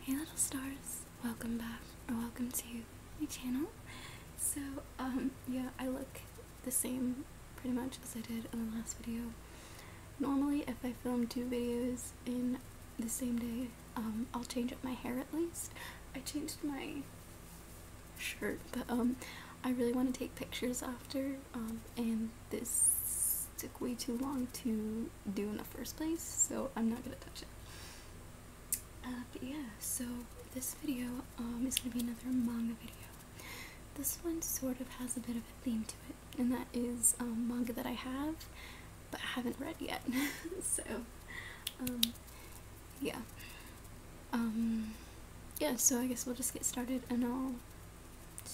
Hey little stars, welcome back or welcome to my channel. So um yeah, I look the same pretty much as I did in the last video. Normally if I film two videos in the same day, um I'll change up my hair at least. I changed my shirt, but um I really want to take pictures after um, and this took way too long to do in the first place, so I'm not gonna touch it. Uh, but yeah, so this video um, is gonna be another manga video. This one sort of has a bit of a theme to it, and that is um, manga that I have, but I haven't read yet. so, um, yeah. yeah, so I guess we'll just get started and I'll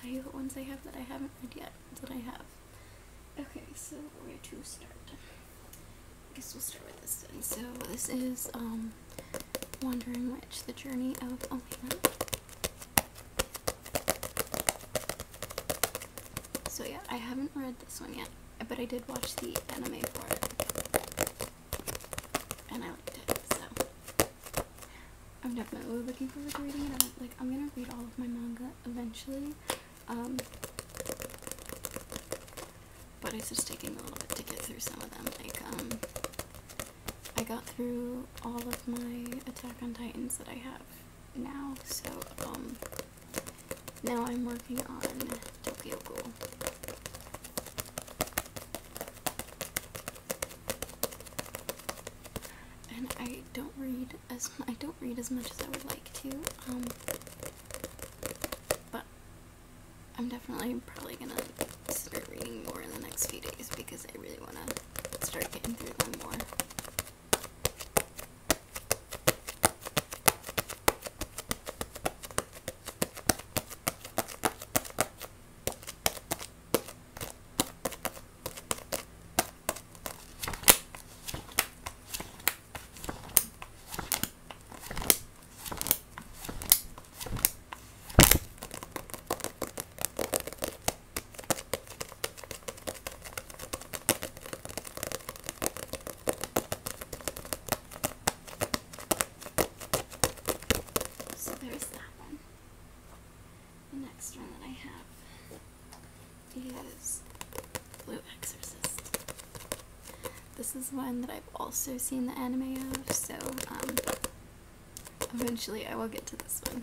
Tell you the ones I have that I haven't read yet, that I have. Okay, so we're going to start? I guess we'll start with this then. So this is um, Wandering Witch, The Journey of Oh, So yeah, I haven't read this one yet, but I did watch the anime for it. And I liked it, so I'm definitely looking forward to reading it. I'm, like, I'm gonna read all of my manga eventually. Um, but it's just taking a little bit to get through some of them. Like, um, I got through all of my Attack on Titans that I have now, so, um, now I'm working on Tokyo Ghoul and I don't read as I don't read as much as I would like to. Um, but I'm definitely probably gonna start reading more in the next few days because I really wanna start getting through them more. So there's that one. The next one that I have is Blue Exorcist. This is one that I've also seen the anime of, so um, eventually I will get to this one.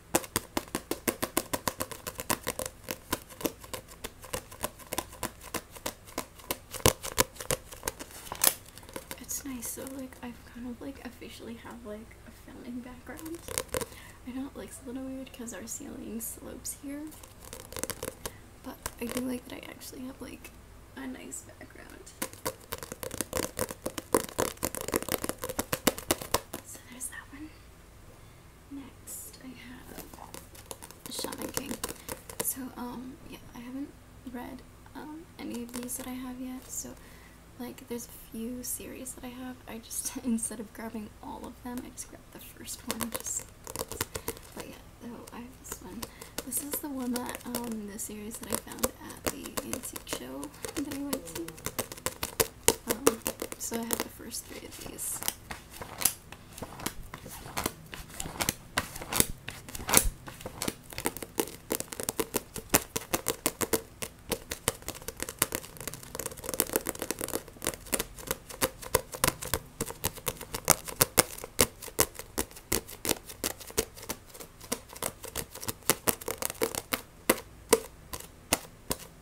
It's nice, so like I've kind of like officially have like a founding background. I know it looks a little weird because our ceiling slopes here, but I do like that I actually have like a nice background. So there's that one next I have Shaman King. So um yeah, I haven't read um any of these that I have yet, so like there's a few series that I have. I just instead of grabbing all of them, I just grabbed the first one just but yeah, oh I have this one. This is the one that um the series that I found at the antique show that I went to. Uh-huh. so I have the first three of these.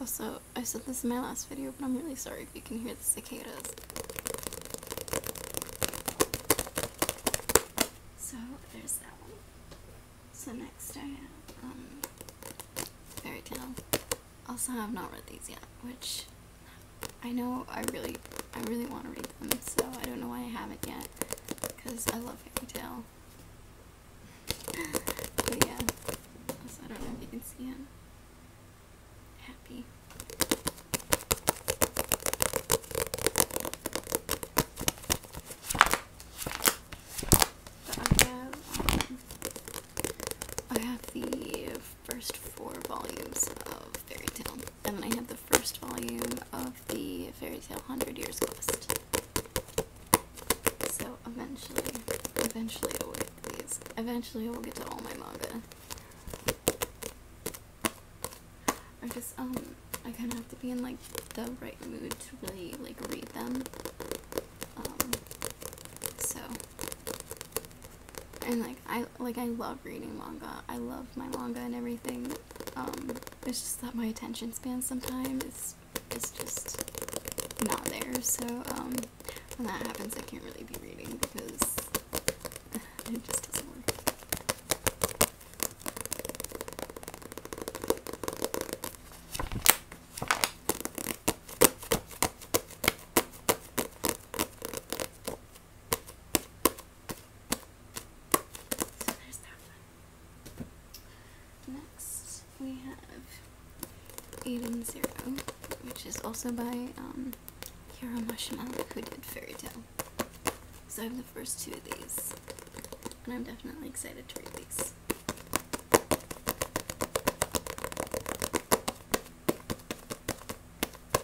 Also, I said this in my last video, but I'm really sorry if you can hear the cicadas. So, there's that one. So next I have, um, Fairy Tale. Also, I have not read these yet, which I know I really, I really want to read them, so I don't know why I haven't yet because I love fairy tale. but yeah, I don't know if you can see him. Happy. Um, I have the first four volumes of Fairy Tale and I have the first volume of the Fairy Tale Hundred Years Quest. So eventually, eventually I Eventually I will get to all my manga. I just um I kind of have to be in like the right mood to really like read them. Um, so and like I like I love reading manga. I love my manga and everything, um, it's just that my attention span sometimes is, just not there. So um, when that happens, I can't really be reading because it just doesn't work. Next, we have Aiden Zero, which is also by um, Kira Hiro who did Fairy Tale. So I have the first two of these, and I'm definitely excited to read these.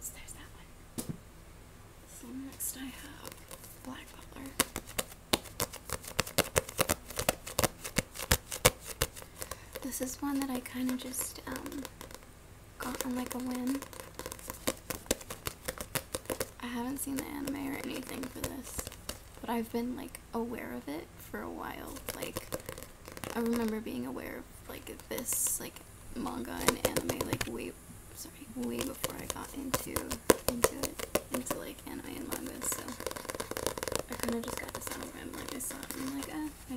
So there's that one. next I have Black Butler. This is one that I kind of just um, Gotten like a win. I haven't seen the anime or anything for this, but I've been like aware of it for a while. Like, I remember being aware of like this like manga and anime like way, sorry, way before I got into into it into like anime and manga. So I kind of just got this on a whim. Like I saw it and I'm like, eh, I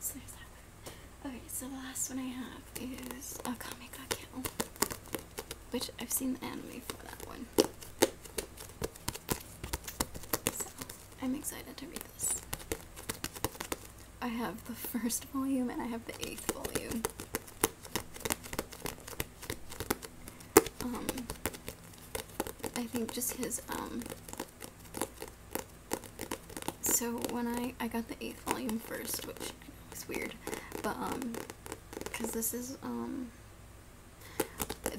So Okay, so the last one I have is a comic Kill, which I've seen the anime for that one. So I'm excited to read this. I have the first volume and I have the eighth volume. Um, I think just his um, so when I, I got the 8th volume first, which I is weird, but, um, because this is, um,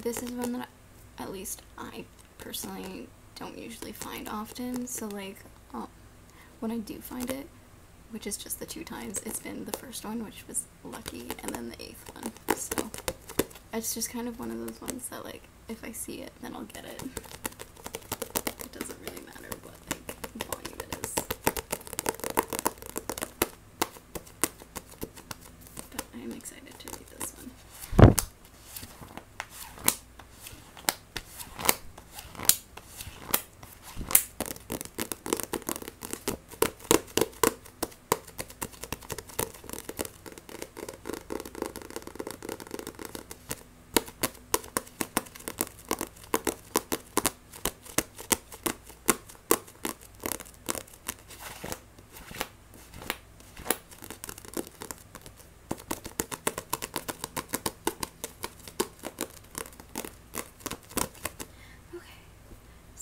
this is one that I, at least I personally don't usually find often, so, like, um, when I do find it, which is just the two times, it's been the first one, which was lucky, and then the 8th one, so it's just kind of one of those ones that, like, if I see it, then I'll get it. It doesn't really matter what like volume it is. But I'm excited to read this one.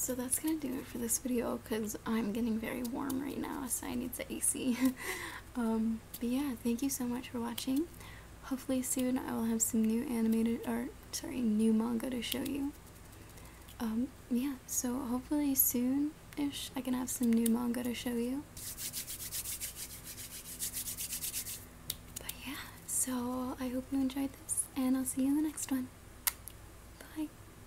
Okay, so that's gonna do it for this video because I'm getting very warm right now, so I need the AC. Um, but yeah, thank you so much for watching. Hopefully soon I will have some new animated art. sorry, new manga to show you. Um, yeah, so hopefully soon-ish I can have some new manga to show you. But yeah, so I hope you enjoyed this, and I'll see you in the next one. Bye!